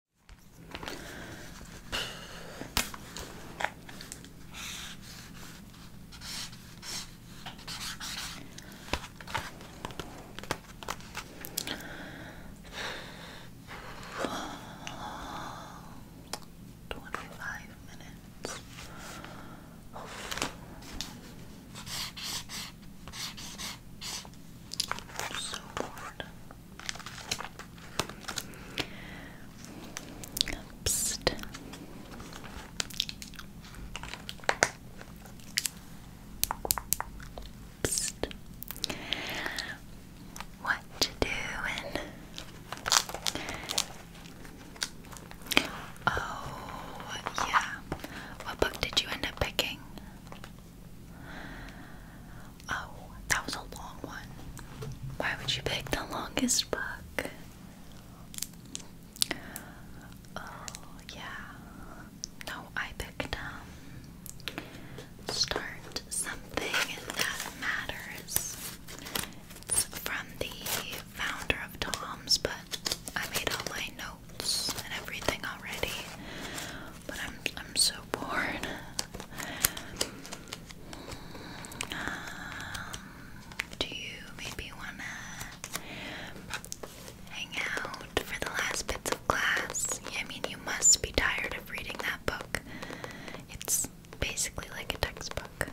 25 minutes. Oh. So bored. What you doing? Oh, yeah. What book did you end up picking? Oh, that was a long one. Why would you pick the longest book? Oh, yeah. No, I picked, um, Start Something That Matters. from the founder of Tom's, but I made all my notes and everything already. But I'm I'm so bored. Um, do you maybe wanna hang out for the last bits of class? I mean, you must be tired of reading that book. It's basically like a textbook.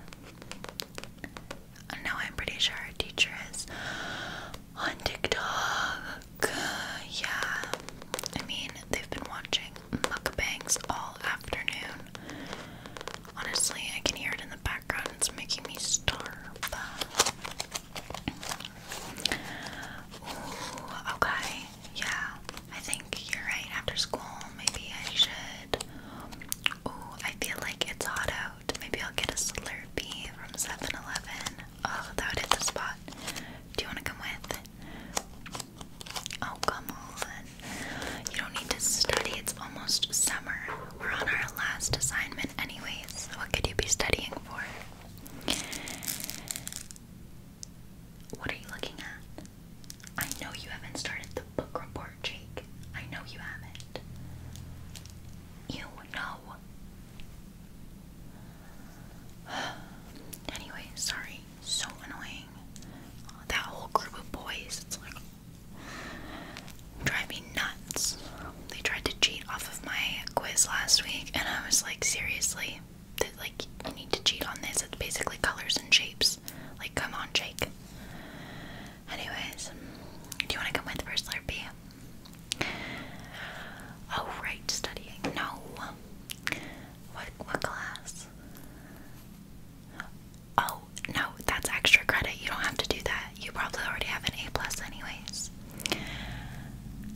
Uh, no, I'm pretty sure our teacher is on TikTok yeah. I mean, they've been watching mukbangs all afternoon. Honestly, I can hear it in the background. It's making me starve. okay. Yeah, I think you're right. After school, maybe I should. Ooh, I feel like it's hot out. Maybe I'll get a Slurpee from 7 Oh, that would the spot. Do you want to come with? Oh, come on. You don't need to study. It's almost summer. We're on our last assignment, anyways. What could you be studying for? What are you looking at? I know you haven't started the book report, Jake. I know you haven't. You know. anyway, sorry, so annoying. That whole group of boys, it's like drive me nuts. They tried to cheat off of my quiz last week, and I was like, seriously, like you need to cheat on this. It's basically colors and shapes. Like, come on, Jake. Anyways, do you want to come with for Slurpee? Oh, right, studying. No, what what class? Oh no, that's extra credit. You don't have to do that. You probably already have an A plus anyways.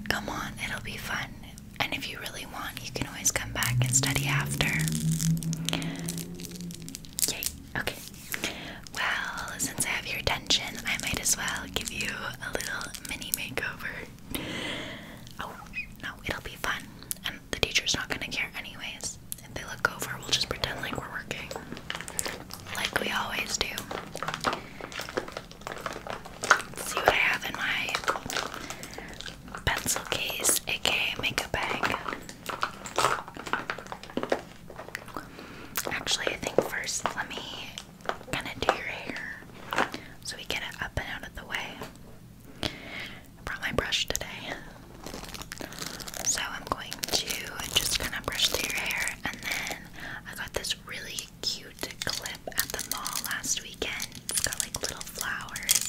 Come on, it'll be fun. And if you really want, you can always come back and study after. Yay, okay. Well, since I have your attention, I might as well give you a little mini makeover oh, no, it'll be fun. And the teacher's not gonna care anyways. If they look over, we'll just pretend like we're working. Like we always do. see what I have in my pencil case, aka makeup bag. Actually, I think first let me kind of do your hair so we get it up and out of the way. I brought my brush today. So I'm going to just kind of brush through your hair and then I got this really cute clip at the mall last weekend. It's got like little flowers.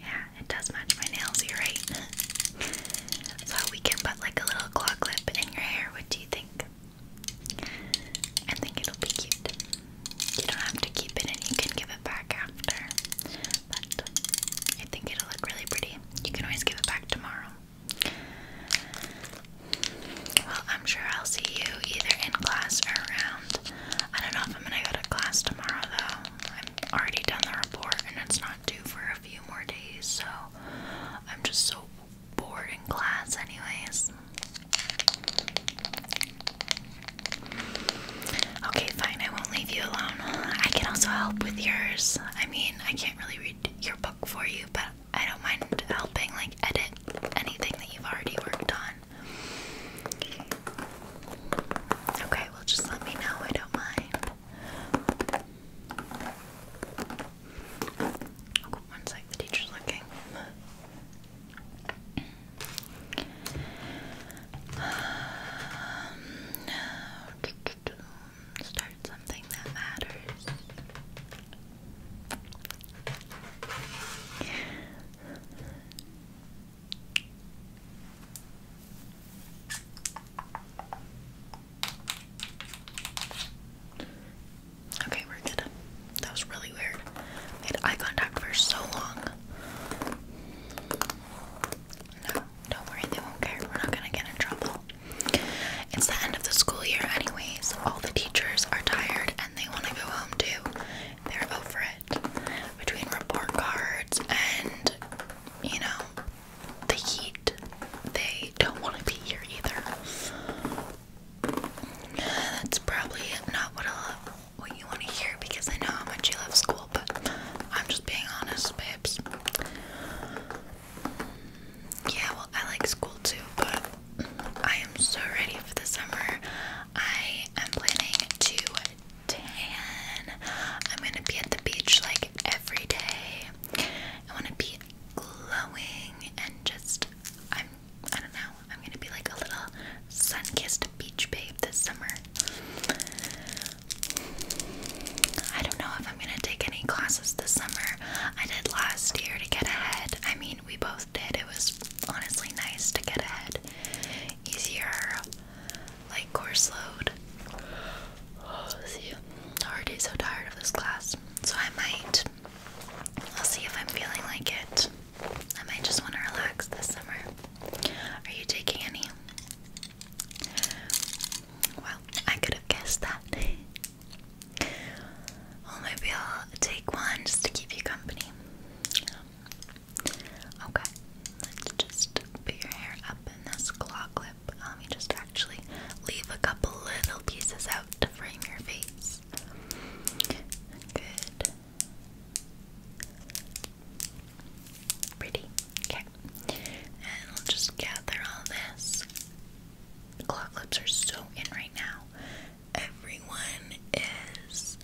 Yeah, it does match my nails, you're right. so we can put like a little claw clip in your hair. What do you think? I think it'll be cute. You don't have to keep it and you can give it back after. But I think it'll look really pretty. You can always give it back tomorrow. Well, I'm sure I'll see you either in class or around. I don't know if I'm gonna go to class tomorrow though. I'm already done the report and it's not due for a few more days, so I'm just so bored in class, anyways. Okay, fine, I won't leave you alone. I can also help with yours. I mean, I can't really read your book for you, but I don't mind helping, like, edit anything that you've already worked on. Okay, well, just let me know, I don't mind. Oh, one sec, the teacher's looking. Um, start something that matters. Okay, we're good. That was really weird. Made eye contact for so long. No, don't worry, they won't care. We're not gonna get in trouble. It's the end of the school year, anyways. All the teachers are tired and they want to go home too. They're over it. Between report cards and, you know, the heat, they don't want to be here either. That's probably not what I what you want to hear because I know how much you love school, but I'm just being honest, babes. Yeah, well, I like school too, but I am so ready for the summer. I am planning to tan. I'm gonna be at the beach like every day. I want to be glowing and just I'm I don't know, I'm gonna be like a little sun-kissed beach babe this summer. I don't know if I'm gonna take any classes this summer. I did last year to get ahead. I mean we both did. It was honestly nice to get ahead. Easier like course load. see, i already so tired of this class. So I might I'll see if I'm feeling like it. I might just want to relax this summer. Are you taking any? Well, I could have guessed that. well, maybe I'll take one just to keep you company. okay, let's just put your hair up in this claw clip. Let um, me just actually. Leave a couple little pieces out to frame your face. Good. Pretty. Okay. And we'll just gather all this. Claw clips are so in right now. Everyone is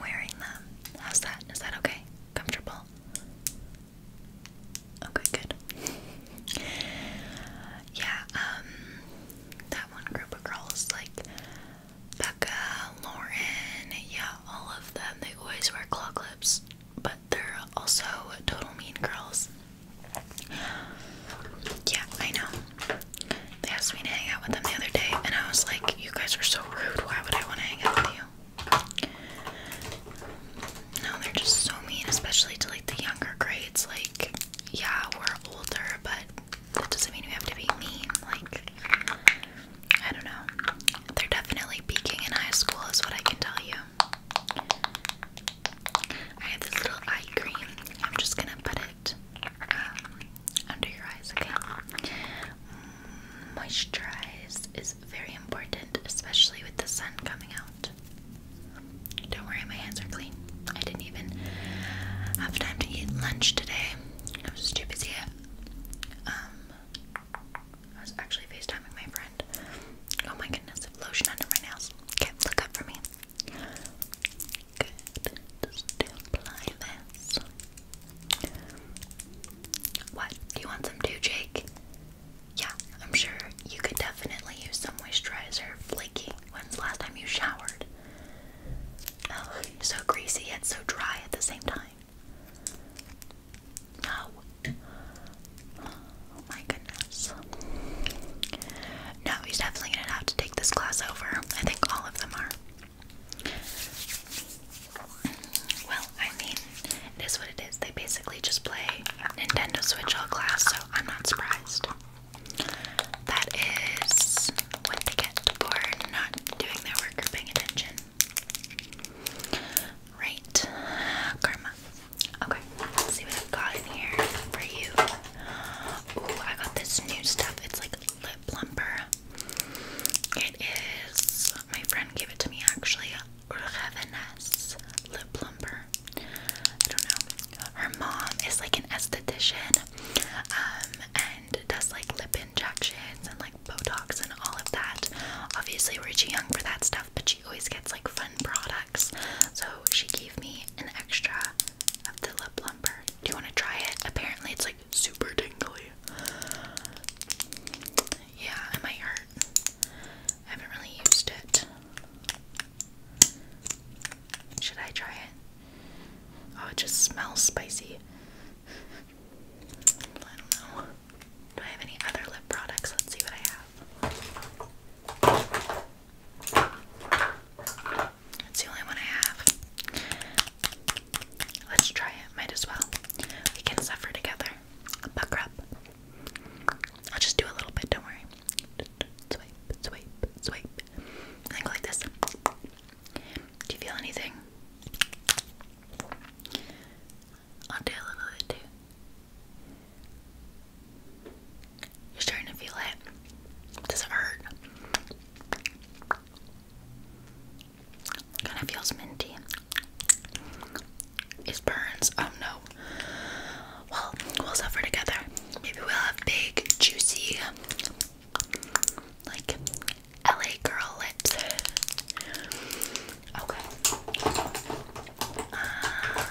wearing them. How's that? Is that okay? Comfortable? Okay, good. yeah, um, that one group of girls, like Becca, Lauren, yeah, all of them, they always wear claw lips, but they're also total mean girls. Yeah, I know. They asked me to hang out with them the other day, and I was like, You guys are so rude. Why would I want to hang out with you? No, they're just so mean, especially to like the younger grades. Like, yeah, we're older, but that doesn't mean we have to be mean. Like, I don't know. They're definitely peaking in high school, is what I can tell you. I have this little eye cream. I'm just gonna put it um, under your eyes, mm, Moisturize is very important, especially with the sun coming out. Don't worry, my hands are clean. I didn't even have time to eat lunch today. I was too busy. Um, I was actually FaceTiming my friend. Oh my goodness, lotion under my nails. Okay, look up for me. Good. Just apply this. What? Do you want some too, Jake? Yeah, I'm sure you could definitely use some moisturizer flaking. When's the last time you showered? Oh, so greasy and so dry at the same time. No. Oh my goodness. No, he's definitely gonna have to take this class over. I think all of them are. Well, I mean, it is what it is. They basically just play Nintendo Switch all class, so I'm not surprised. That is what they get for not doing their work or paying attention. Right, karma. Okay, let's see what I've got in here for you. Ooh, I got this new stuff. It's like lip plumper. It is, my friend gave it to me actually, Urgevenes lip plumper her. I don't know. Her mom is like an esthetician um, and does like lip injections and like Botox and all of that. Obviously, we're too young for that stuff, but she always gets like fun products. So she gave me an extra of the lip lumper. Do you want to try it? Apparently, it's like super tingly. Yeah, it might hurt. I haven't really used it. Should I try it? Oh, it just smells spicy. I don't know. Do I have any other lip products? Let's see what I have. It's the only one I have. Let's try it. Might as well. We can suffer together. i up. I'll just do a little bit, don't worry. Swipe, swipe, swipe. And then go like this. Do you feel anything? I'll do a little bit too. You're starting to feel it. Does it hurt? Kind of feels minty. It burns? Oh no. Well, we'll suffer together. Maybe we'll have big, juicy, like LA girl lips. Okay. Um,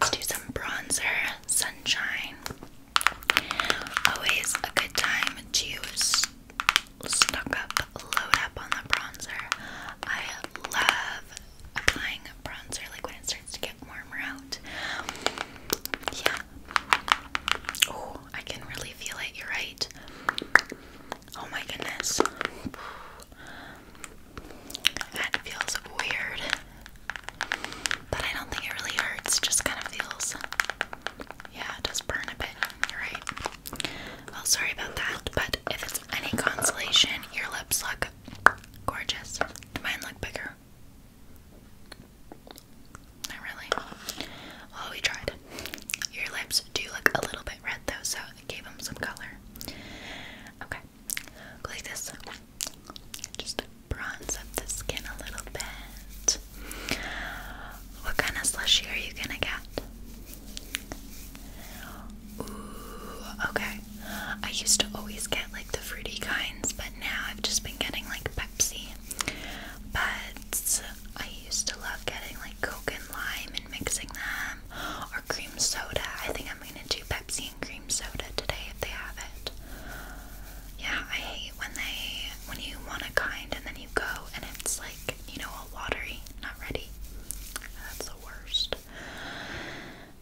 let's do some bronzer, sunshine. Always a good time to stuck up, load up on the bronzer. I love applying bronzer like when it starts to get warmer out. Yeah. Oh, I can really feel it. You're right. Oh my goodness. That feels weird. But I don't think it really hurts. Just kind of feels. Yeah, it does burn a bit. You're right. Well, sorry about that. But if it's any consolation, your lips look Gorgeous. mine look bigger? Not really. Well, we tried. Your lips do look a little bit red though, so gave them some color. Okay, like this. Just bronze up the skin a little bit. What kind of slushie are you gonna get? Ooh, okay. I used to always get like the fruity kinds, but now I've just been getting like Pepsi. But I used to love getting like Coke and lime and mixing them, or cream soda. I think I'm gonna do Pepsi and cream soda today if they have it. Yeah, I hate when they when you want a kind and then you go and it's like you know all watery, not ready. That's the worst.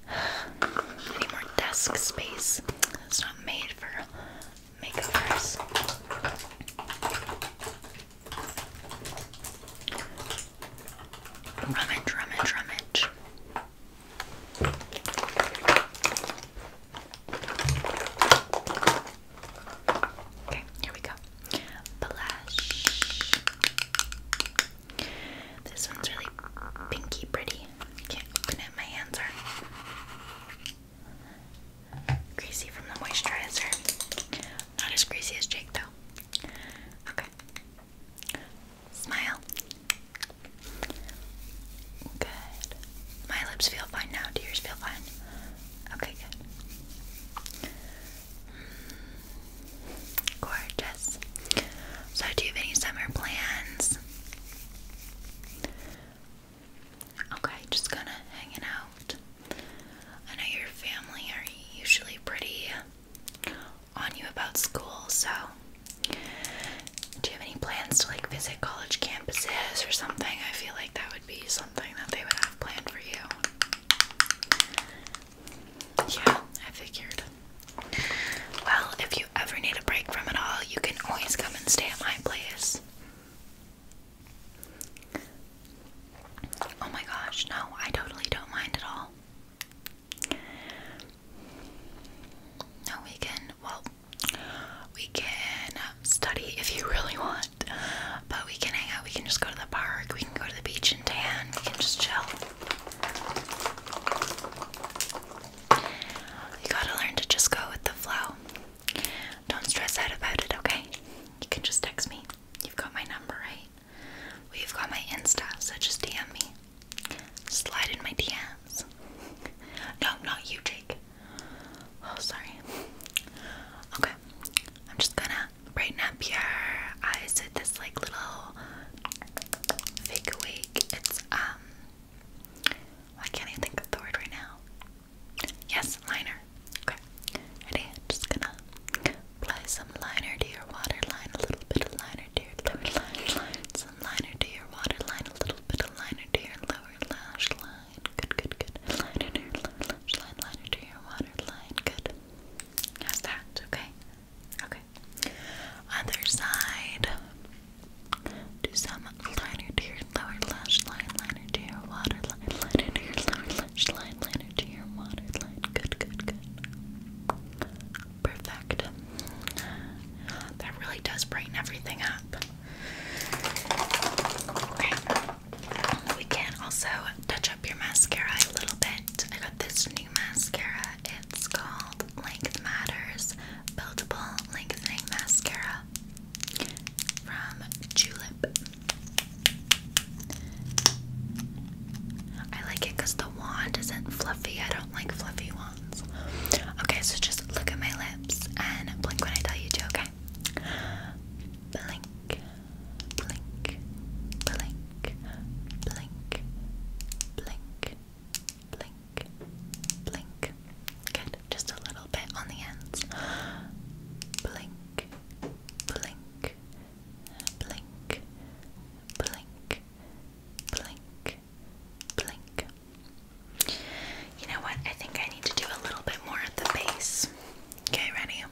I need more desk space. It's not made for makeovers. Rummage, rummage, rummage. Okay, here we go. Blush. This one's really pinky pretty. Can't open it, my hands are greasy from the moisturizer. Not as greasy as Jake though. Okay. Smile. Good. My lips feel fine now. Do yours feel fine? Okay, good. Gorgeous. So, do you have any summer plans? Okay, just kind of hanging out. I know your family are usually pretty on you about school, so do you have any plans to like visit college campuses or something? I feel like that would be something that they would have planned for you. Yeah, I figured. Well, if you ever need a break from it all, you can always come and stay at my place. Oh my gosh, no, I totally don't mind at all. No, we can, well, we can study if you really want, but we can hang out, we can just go to the park, we can go to the beach and tan, we can just chill. You gotta learn to just go with the flow. Don't stress out about it, okay? You can just text me. You've got my number, right? Well, have got my Insta, so just DM me. Slide in my DMs. no, not you, Jake. Oh, sorry. Okay, I'm just gonna brighten up your eyes with this like little fake awake. It's um I can't even think of the word right now. Yes, liner. Okay. Ready? I'm just gonna apply some liner to your waterline, a little bit of liner to your lower lash line, some liner to your waterline, a little bit of liner to your lower lash line. Good, good, good. Liner to your lower lash line, liner to your waterline. Good. How's that? Okay. Okay. Other side. Do some liner to your lower lash line, liner to your water line, liner to your lower lash line, liner to your water line. Good, good, good. Perfect. That really does brighten everything up. Okay. We can also touch up your mascara a little bit. I got this new mascara. It's called Length Matters Buildable Lengthening Mascara from Julep. I like it because the wand isn't fluffy. I don't like fluffy wands. Okay, so just look at my lips and blink when I tell you to, okay? Blink blink, blink, blink, blink, blink, blink. Good, just a little bit on the ends. Blink, blink, blink, blink, blink, blink. You know what? I think I need to do a little bit more at the base. Okay, ready?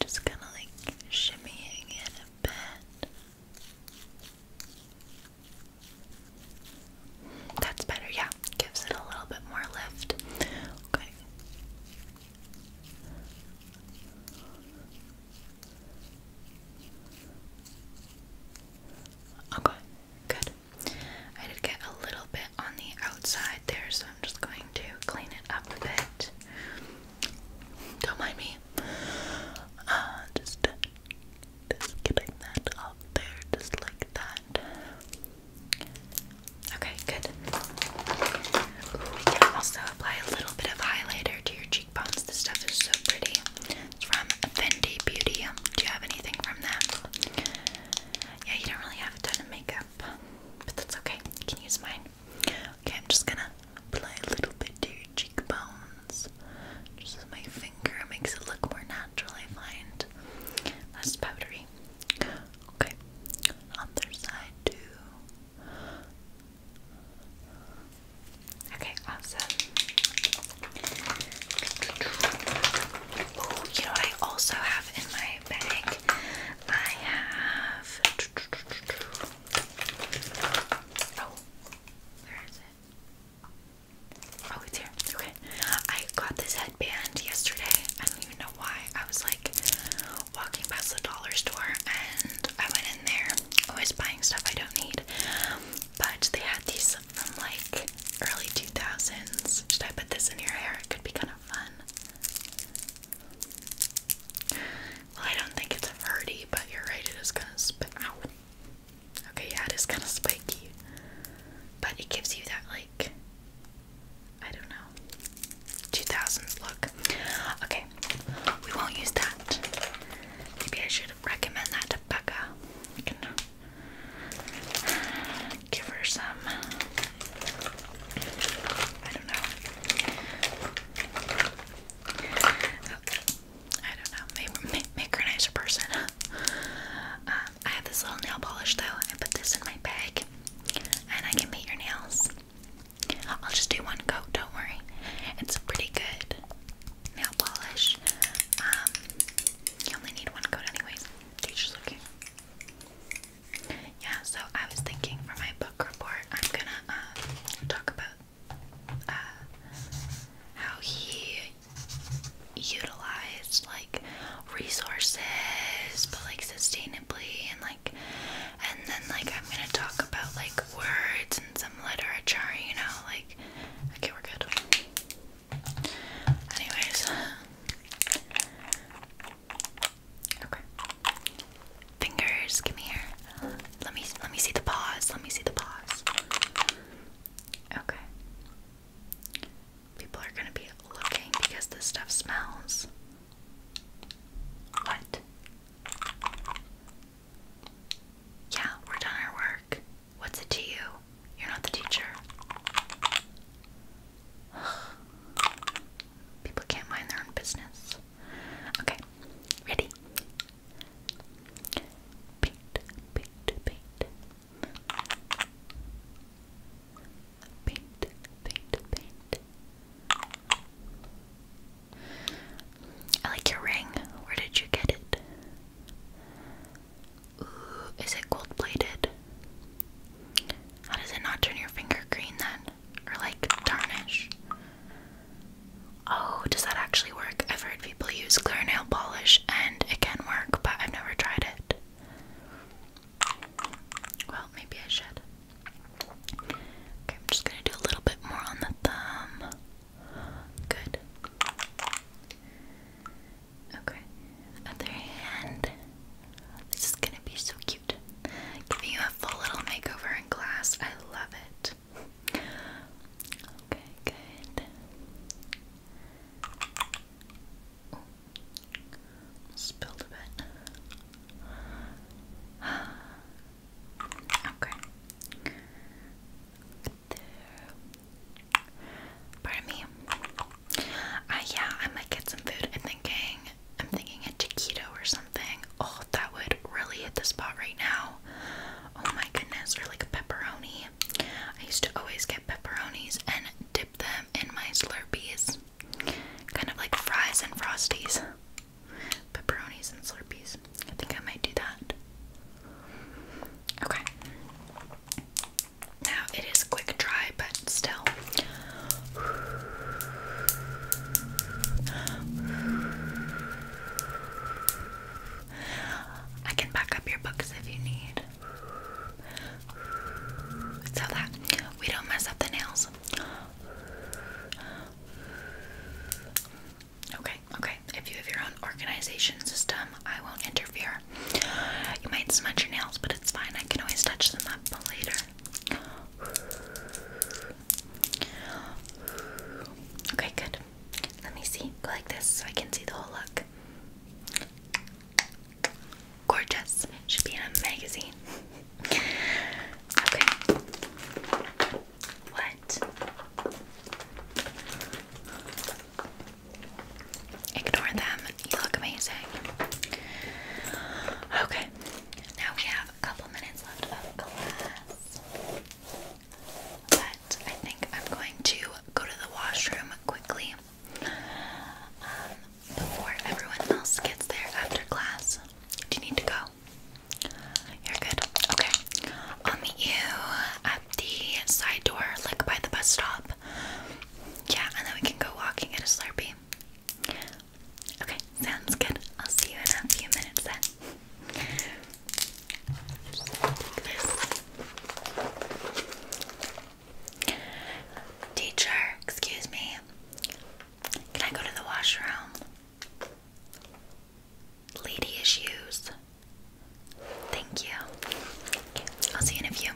Just kind of like shimmying it a bit. That's better, yeah. Gives it a little bit more lift. Okay. Okay, good. I did get a little bit on the outside there, so I'm just going to clean it up a bit. Don't mind me. Uh, just, just getting that up there, just like that. Okay, good. we can also apply a little bit of highlighter to your cheekbones. This stuff is so pretty. It's from Fendi Beauty. Do you have anything from them? Yeah, you don't really have a ton of makeup, but that's okay. You can use mine. Okay, I'm just gonna apply a little bit to your cheekbones. Just my finger, makes it look more natural, I find. Less powdery. Okay, other side too. Okay, awesome. Oh, you know what I also have in my bag? I have. Oh, where is it? Oh, it's here. Okay. I got this headband yesterday. I don't even know why. I was like walking past the dollar store and I went in there. Always buying stuff I don't need. But they had these from like early 2000s. Should I put this in your hair? It could be kind of fun. Well, I don't think it's hardy, but you're right, it is kind of spit Okay, yeah, it is kind of spiky. But it gives you that, like, I don't know, 2000s look. Okay, we won't use that. Maybe I should recommend that to Becca. give her some I don't know. I don't know. Maybe make, a nicer person. Um, I have this little nail polish though. I put this in my bag, and I can paint your nails. I'll just do one coat. Don't worry. It's pretty good nail polish. Um, you only need one coat anyways. they just looking. Yeah, so I was thinking for my book report, I'm gonna um, talk about uh, how he utilized like resources, but like sustainably, and like, and then like I'm gonna talk about like words and some literature, you know, like. Okay, we're good. Anyways. Okay. Fingers, come here. Let me let me see the paws. Let me see the paws. Okay. People are gonna be looking because this stuff smells. What? Yeah, we're done our work. What's it to you? You're not the teacher. People can't mind their own business. Okay, ready? Paint, paint, paint. Paint, paint, paint. I like your ring. Where did you get it? Ooh, is it gold plated? How does it not turn your finger green then? Or like tarnish? Oh, does that actually work? I've heard people use clear nail polish and it can work, but I've never tried it. Well, maybe I should. Okay, I'm just gonna do a little bit more on the thumb. Good. Okay, other hand. This is gonna be so cute. Giving you a full little makeover in class. I love it. Okay, good. spilled a bit. Okay. Pardon me. Uh, yeah, I might get some food. I'm thinking I'm thinking a taquito or something. Oh, that would really hit the spot right now. Oh my goodness, or like a pepperoni. I used to always get pepperonis and dip them in my Slurpees. Kind of like fries and frosties. Pepperonis and Slurpees. I think I might do that. Okay. Now it is quick dry, but still, I can back up your books if you need. So that we don't mess up the nails. Okay, okay. If you have your own organization system, I won't interfere. You might smudge your nails, but it's fine. I can always touch them up later. Okay, good. Let me see. Go like this so I can see the whole look. Gorgeous. Should be in a magazine. okay. What? Ignore them you look amazing. Okay, now we have a couple minutes left of class. But I think I'm going to go to the washroom quickly um, before everyone else gets there after class. Do you need to go? You're good. Okay. I'll meet you at the side door, like by the bus stop. Yeah, and then we can go walking at a Slurpee. Okay, sounds good. I'll see you in a few minutes then. Teacher, excuse me. Can I go to the washroom? Lady issues. Thank you. I'll see you in a few.